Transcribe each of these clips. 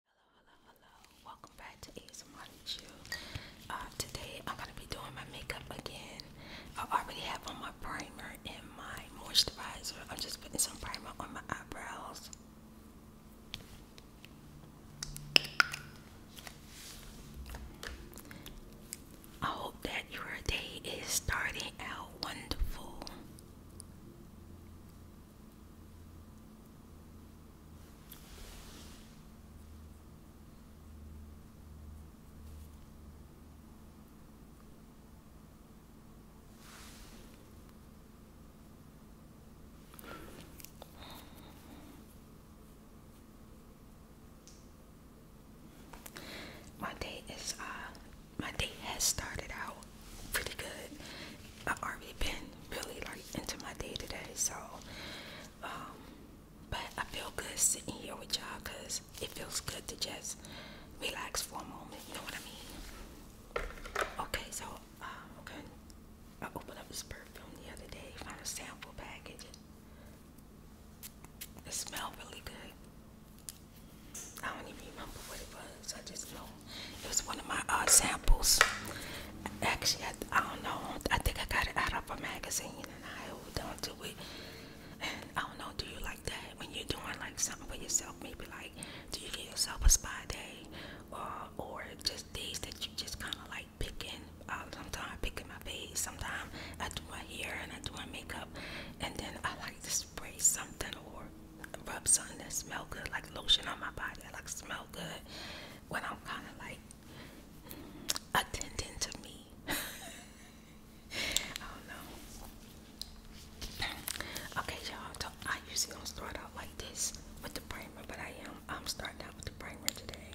Hello, hello, hello. Welcome back to ASMR uh, today I'm gonna be doing my makeup again. I already have on my primer and my moisturizer. I'm just putting some primer on my eyebrows. I hope that your day is starting out wonderful. My day is uh my day has started out pretty good. I've already been really like into my day today, so um, but I feel good sitting here with y'all because it feels good to just relax for a moment. You know what I mean? Okay, so um, I opened up this perfume the other day, found a sample package. It smelled really good. I don't even remember what it was. I just know it was one of my uh, samples. Actually, I, don't know. I think I got it out of a magazine and I held on to it. And I don't know. Do you like that when you're doing like something for yourself? Maybe like, do you get yourself a spa day, or or just days that you just kind of like picking? Uh, sometimes picking my face. Sometimes I do my hair and I do my makeup, and then I like to spray something or rub something that smell good, like lotion on my body. I like smell i Okay, y'all. I usually don't start out like this with the primer, but I am. I'm starting out with the primer today.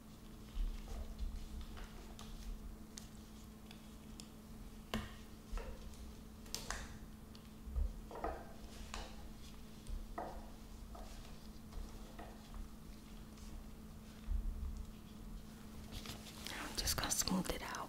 I'm just going to smooth it out.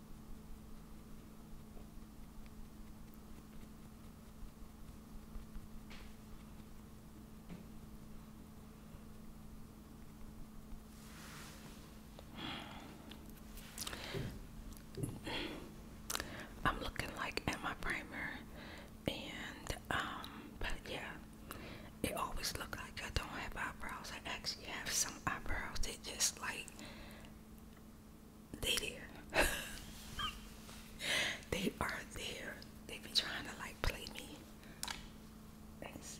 I'm looking like at my primer, and um, but yeah, it always looks like I don't have eyebrows. I actually have some eyebrows. They just like they there. they are there. They be trying to like play me. let see.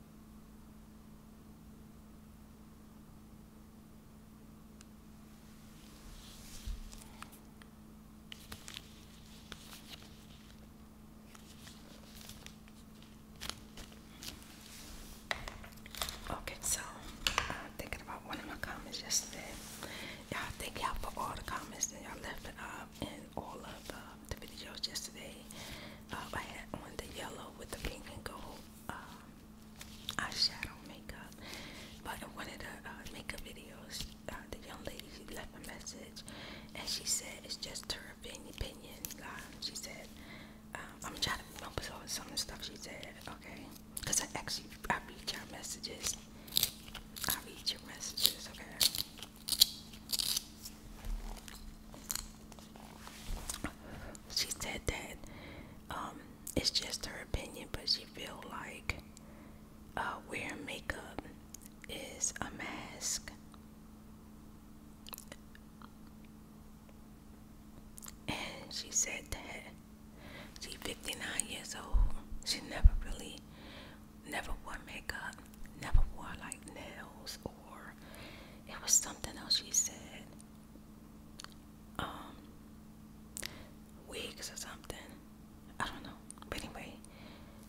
Okay, so I'm thinking about one of my comments yesterday. Y'all thank y'all for all the comments that y'all left up um, in all of um, the videos yesterday. Um, I had on the yellow with the pink and gold um, eyeshadow makeup. But in one of the uh, makeup videos, uh, the young lady left a message, and she said it's just her opinion. Um, she said, um, "I'm trying to remember some of the stuff she said." Okay, because I actually I read your messages. I read your messages. Okay she said that um, it's just her opinion, but she feel like uh, wearing makeup is a mask. And she said that she's 59 years old. She never really, never wore makeup, never wore like nails, or it was something else she said um wigs or something. I don't know. But anyway,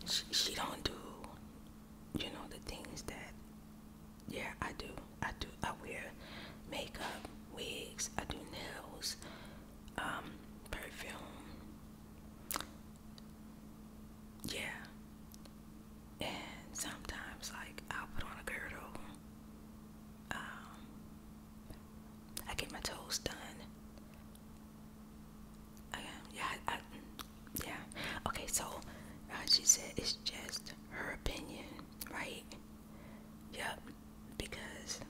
she, she don't do you know the things that yeah, I do. I do I wear makeup, wigs, I do nails, um, perfume. Yeah. And sometimes like i put on a girdle um, I get my toes done. yeah, yeah. Okay, so uh, she said it's just her opinion, right? Yep, because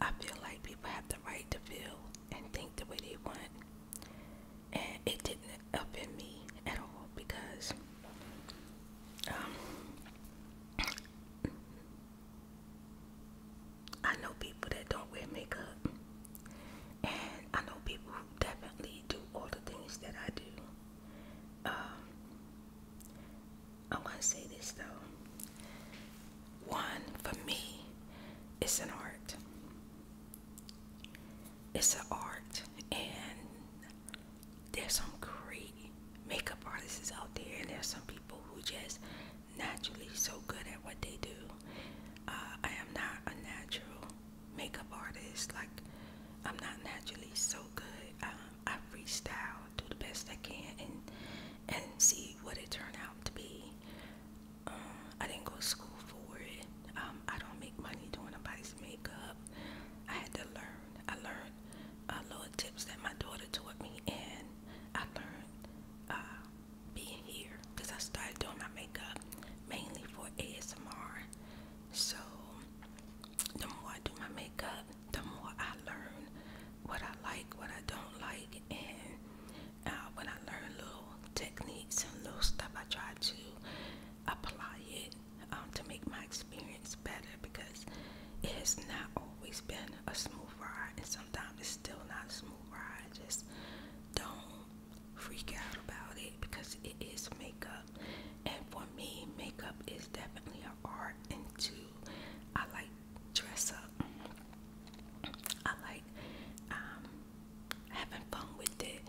I feel like people have the right to feel and think the way they want and it didn't help in me at all because um, I know people that don't wear makeup, and I know people who definitely do all the things that I do. Um, I want to say this though. One, for me, it's an art. It's an art, and there's some great makeup artists out there, and there's some people who just naturally so good at what they do. Uh, I am not a natural makeup artist, like, I'm not naturally so good. Um, I freestyle, do the best I can, and and see what it turned out to be. Um, I didn't go to school for it. Um, I don't make money doing a nobody's makeup. I had to learn. I learned uh, little tips that my daughter taught me, and I learned uh, being here because I started doing my makeup mainly for ASMR. So the more I do my makeup, the more I learn what I like, what I don't like, and uh, when I learn little techniques and little stuff, I try to apply it um, to make my experience better because it has not always been a smooth ride, and sometimes it's still not a smooth ride. Just don't freak out about it because it is makeup, and for me, makeup is definitely an art. And two, I like dress up. I like um, having fun with it.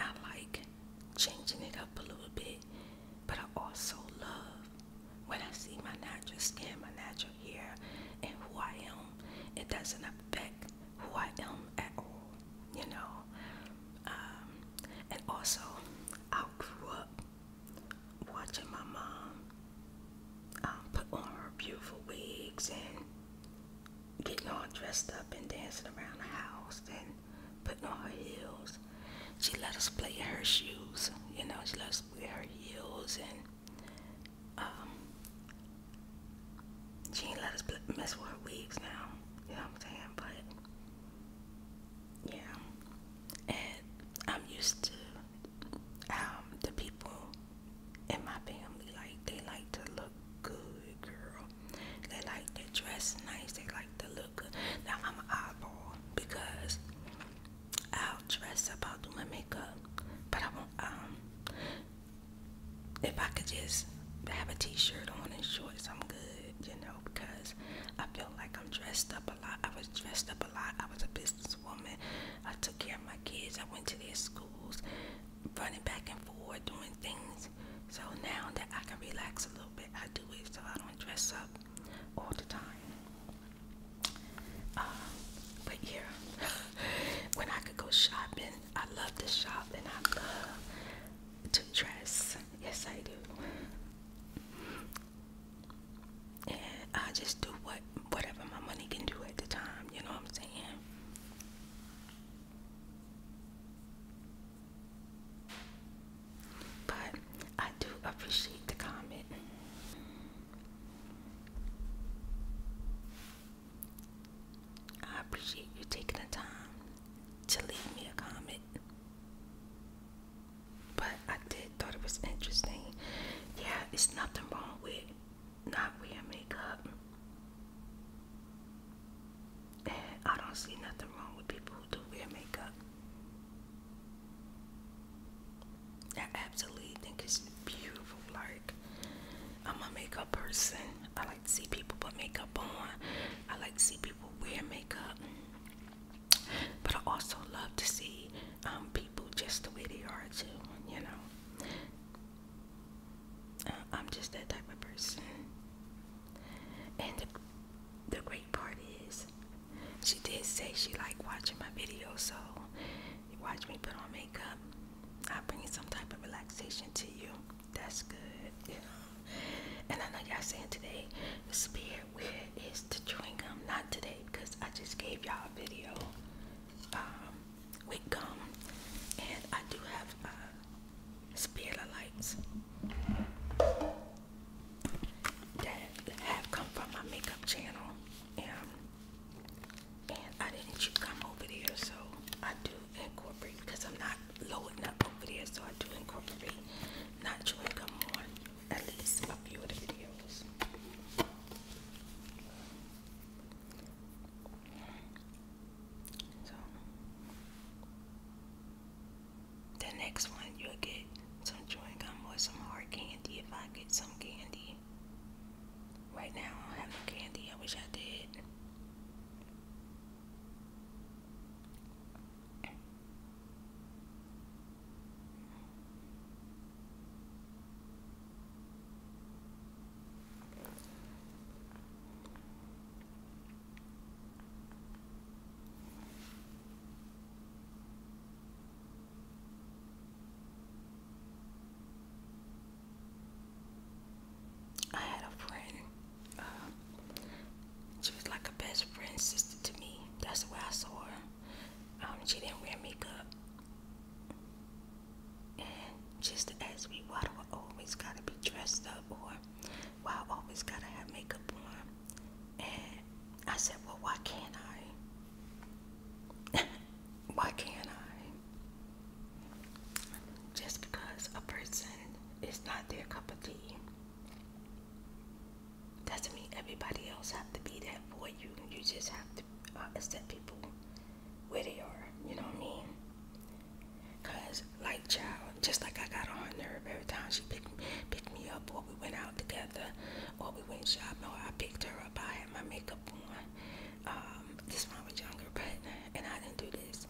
I like changing it up a little bit. But I also love when I see my natural skin, my natural hair, and who I am. It doesn't affect who I am at all, you know. Um, and also, I grew up watching my mom um, put on her beautiful wigs and getting all dressed up and dancing around the house putting on her heels. She let us play in her shoes, you know, she let us play her heels and um she ain't let us play, mess with her weaves now, you know what I'm saying? But yeah. And I'm used to um the people in my family, like they like to look good, girl. They like to dress nice. They like to look good. Now I'm an eyeball because I'll dress up. I'll do my makeup, but I won't. Um, if I could just have a T-shirt on and shorts, I'm good. You know, because I feel like I'm dressed up a lot. I was dressed up a lot. I was a businesswoman. I took care of my kids. I went to their schools, running back and forth, doing things so now that I can relax a little bit, I do it so I don't dress up all the time. Uh, but yeah, when I could go shopping, I love to shop and I love to dress. Yes, I do. And I just do what whatever my money can do at the time. You know what I'm saying? But I do appreciate the comment. I appreciate you taking the time to leave me a comment. But I did thought it was interesting. Yeah, it's nothing wrong with not wearing makeup. And I don't see nothing wrong with people who do wear makeup. I absolutely think it's beautiful. Like, I'm a makeup person. I like to see people put makeup on. I like to see people wear makeup. But I also love to see um, people just the way they are, too, you know. Uh, I'm just that type of person. And the great part is she did say she liked watching my videos, so you watch me put on makeup. I bring some type of relaxation to you. That's good. You know? And I know y'all saying today, the spirit where is to drink gum? Not today because I just gave y'all a video um, with gum, and I do have uh, spirit lights that have come from my makeup channel, and I didn't come over there, so I do incorporate because I'm not loading up over there, so I do incorporate not chewing gum on at least a few of the videos. So. The next one, you'll get some chewing gum or some hard candy if I get some candy. Right now, I don't have no candy. I wish I did. I had a friend. Um, she was like a best friend sister to me. That's the way I saw her. Um, she didn't wear makeup. And just as we me always gotta be dressed up or why I always gotta have makeup on. And I said, Well, why can't I? why can't I? Just because a person is not their cup of tea doesn't mean everybody else has to be that for you. You just have to uh, accept people where they are. You know what I mean? Because like child, just like I got on her nerve every time she picked picked me up, or we went out together, or we went shopping, I picked her up. I had my makeup on. Um, this one was younger, but and I didn't do this.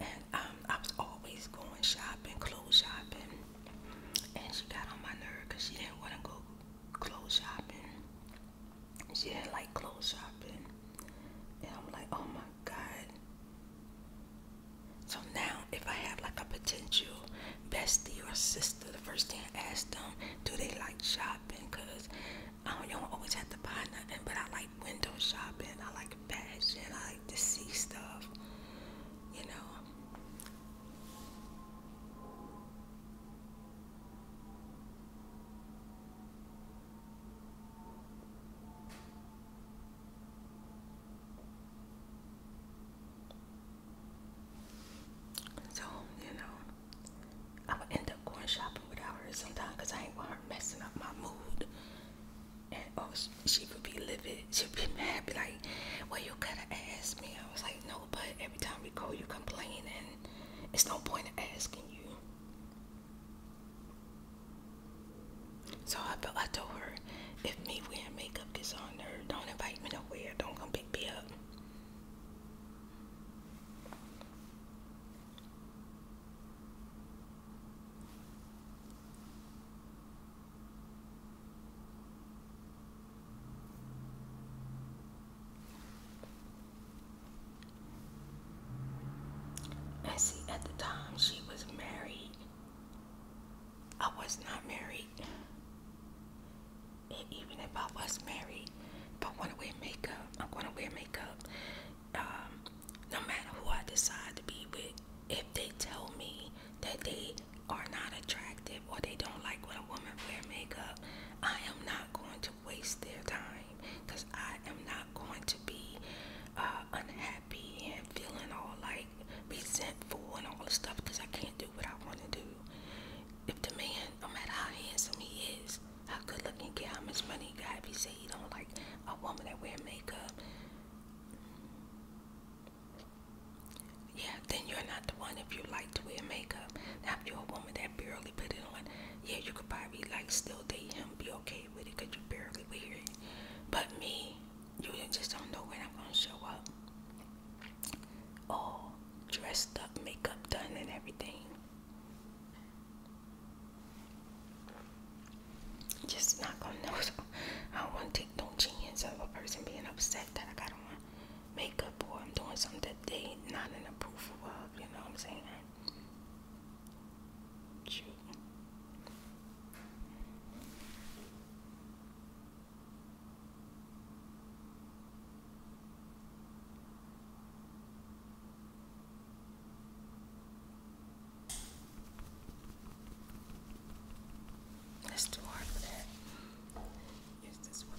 And um, I was always going shopping, clothes shopping, and she got on my nerve because she didn't want to go clothes shopping. She didn't like clothes shopping, and I'm like, oh my god. So now, if I have like a potential bestie or sister, the first thing I ask them, do they like shopping? Cause I don't, you do always have to buy nothing, but I like window shopping. I like fashion. I like to see stuff. You know. So, you know, i would end up going shopping without her sometimes, because I ain't want her messing up my mood. And oh, she, would be livid. She'd be mad, be like, well, you could have asked me. I was like, no, but every time we go, you complain, and it's no point in asking you. So I told her, if me wearing makeup gets on her, don't invite me nowhere. Don't come pick me up. And see, at the time she was married I was not married. And even if I was married, if I want to wear makeup, I'm going to wear makeup. Um, no matter who I decide to be with, if they tell me that they are not attractive or they don't like when a woman wear makeup, I am not going to waste their time because I am not going to be uh, unhappy happy and feeling all like resentful and all the stuff because I can't do what I want to do. If the man, no matter how handsome he is, how good looking, care how much money he got, if he say he don't like a woman that wear makeup, yeah, then you're not the one if you like to wear makeup. Now, if you're a woman that barely put it on, yeah, you could probably like still date him, be okay with it because you barely wear it. But me, you just don't know when I'm gonna show up. All dressed up, makeup done, and everything. Just not gonna know. So I don't want to take no chance of a person being upset that I got on makeup boy I'm doing something that they not in approval of. You know what I'm saying? Shoot. Let's do hard for that. Use this one.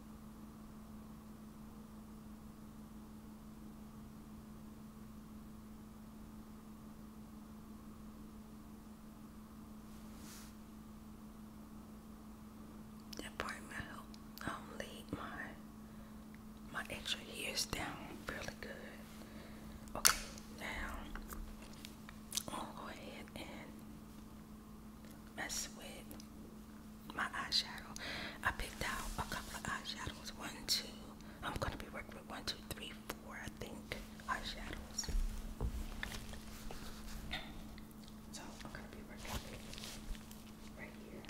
The appointment helped um, lead my my extra years down really good. Okay, now I'll go ahead and mess with my eyeshadow. I picked out a couple of eyeshadows. One, two. I'm gonna be working with one, two, three, four. I think eyeshadows. So I'm gonna be working right here.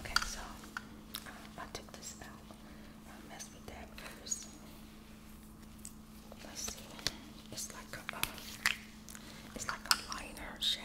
Okay, so I took this out mess with that first. Let's see. It's like a, uh, it's like a liner shadow.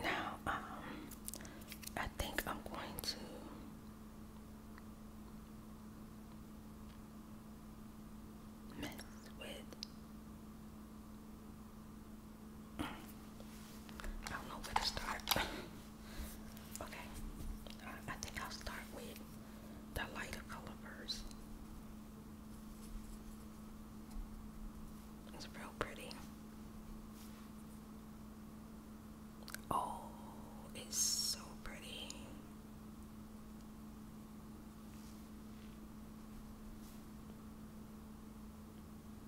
Now, um, I think I'm going to. Mess with I don't know where to start. okay, I, think I'll start with the lighter color It's real pretty. Oh, it's so pretty.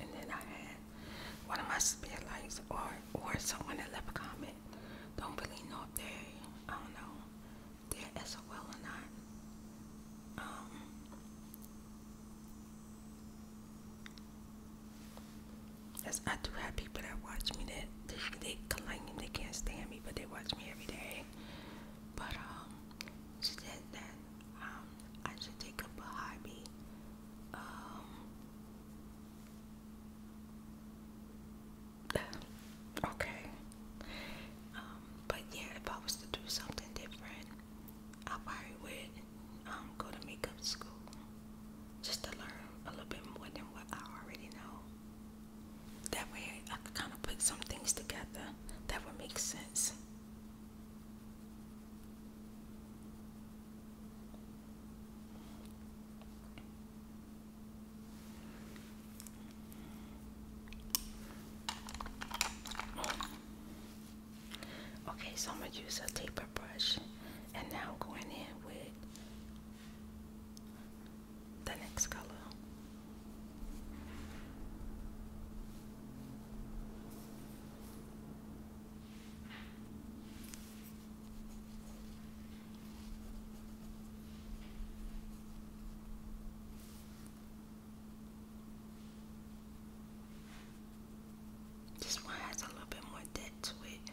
And then I had one of my spotlights or or someone that left a comment. Don't really know if they I don't know they're SOL or not. Um I do have people that watch me that they, they complain they can't stand me, but they watch me every day. But um, she said that um, I should take up a hobby. Um, okay. Um, but yeah, if I was to do something different, I probably would um go to makeup school just to learn a little bit more than what I already know. That way I could kind of put some things together that would make sense. Okay, so I'm going to use a taper brush and now I'm going in with the next color. This one has a little bit more depth to it.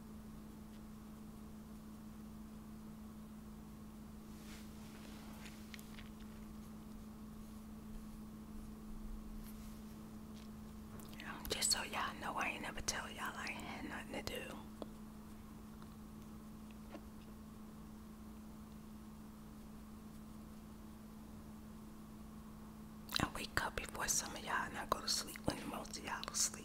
Just so y'all know, I ain't never tell y'all I had nothing to do. I wake up before some of y'all and I go to sleep when most of y'all asleep.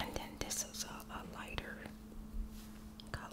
and then this is a, lighter color.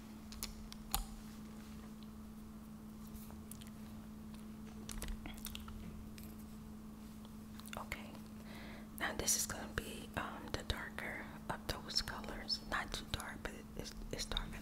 Okay, now this is going to be um, the darker of those colors. Not too dark, but it's, it's dark enough.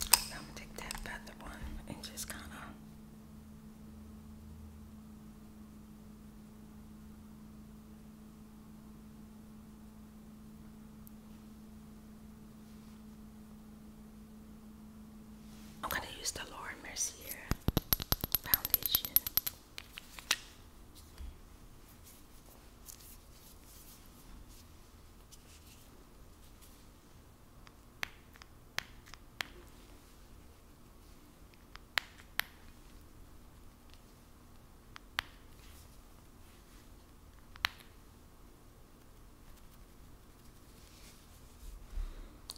I'm gonna take that feather one and just kind of. I'm gonna use the Laura Mercier foundation.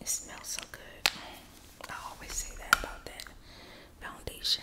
It smells so good. I always say that about that foundation.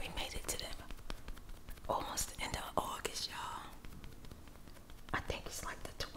We made it to them. almost the end of August, y'all. I think it's like the 21st.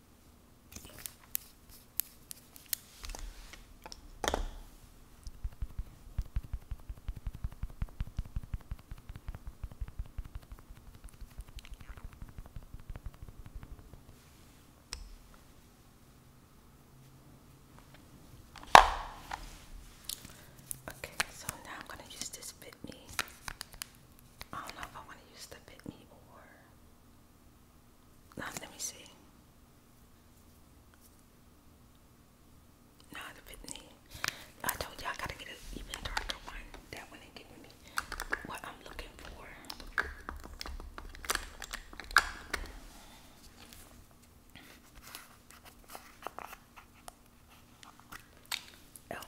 Okay, so now I'm going to use this bit me. I don't know if I want to use the bit me or Ah, let me see. Now the fitness. I told you I gotta get an even darker one. That one ain't giving me what I'm looking for. Oh.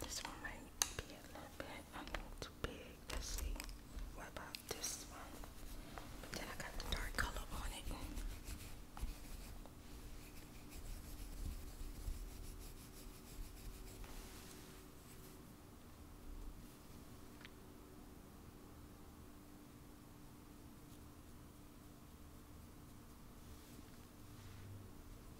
This one might be a little bit a little too big. Let's see. What about this one? But then I got the dark color on it.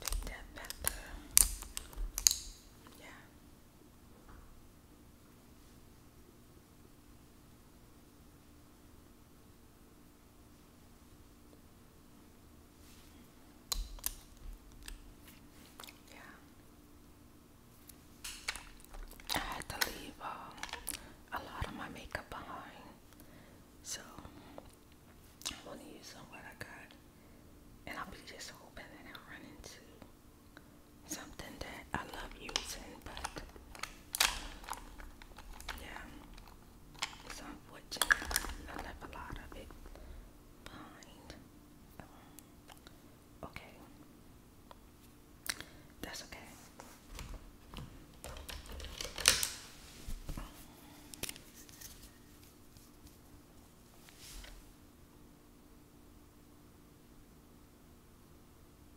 Take that pepper. Yeah. I had to leave um, a lot of my makeup behind. So I'm gonna use some what I got. And I'll be just hoping that I run into something that I love using, but yeah. It's unfortunate. I left a lot of it behind. Oh. okay. That's okay.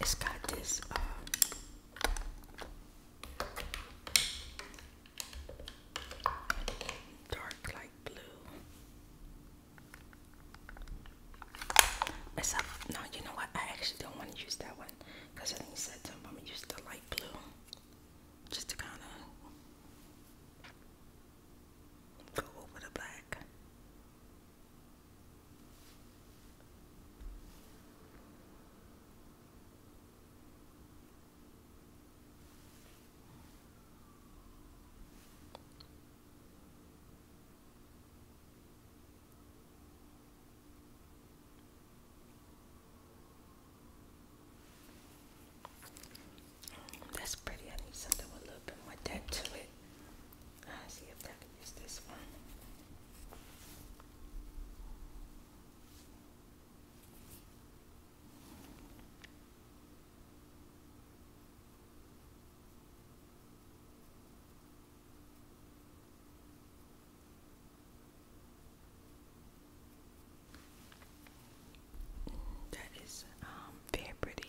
It's got this uh, dark like blue. Except no, you know what? I actually don't want to use that one. Cause I think he said something about me "Use the light blue, just to kind of go over the black. That's pretty. I need something a little bit more depth to it. I'll see if I can use this one. That is um, very pretty.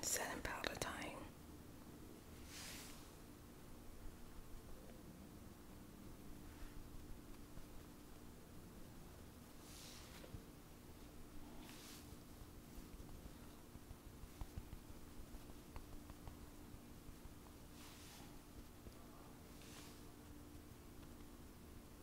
Seven Palatine.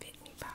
Fit me power.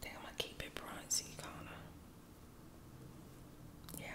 Think I'm gonna keep it bronzy, kind Yeah.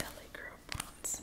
LA Girl Bronze.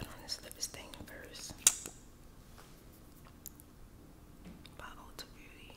I'm gonna slip this thing first. By Ulta Beauty.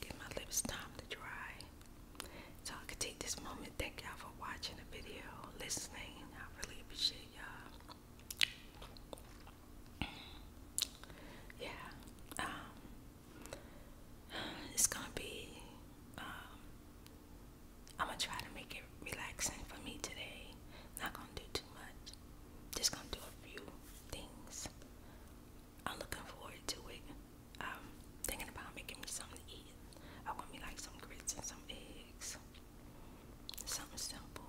Give my lips time to dry so I can take this moment thank y'all for watching the video, listening. I really appreciate y'all. yeah. Um, it's gonna be um, I'm gonna try to make it relaxing for me today. Not gonna do too much. Just gonna do a few things. I'm looking forward to it. thinking about making me something to eat. I want me like some grits and some eggs. Something simple.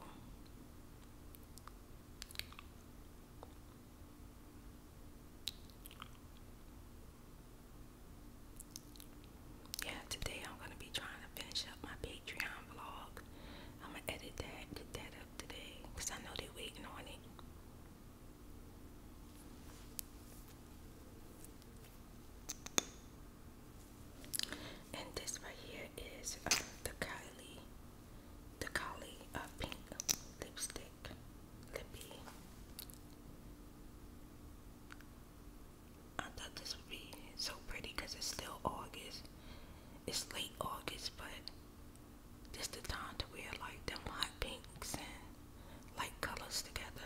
Yeah, today I'm gonna be trying to finish up my Patreon vlog. I'm gonna edit that, get that up today, cause I know they waiting on it. And this right here is uh, the Kylie, the Kylie of uh, pink lipstick, lippy. I thought this would be so pretty because it's still August. It's late August, but this the time to wear like them hot pinks and light colors together.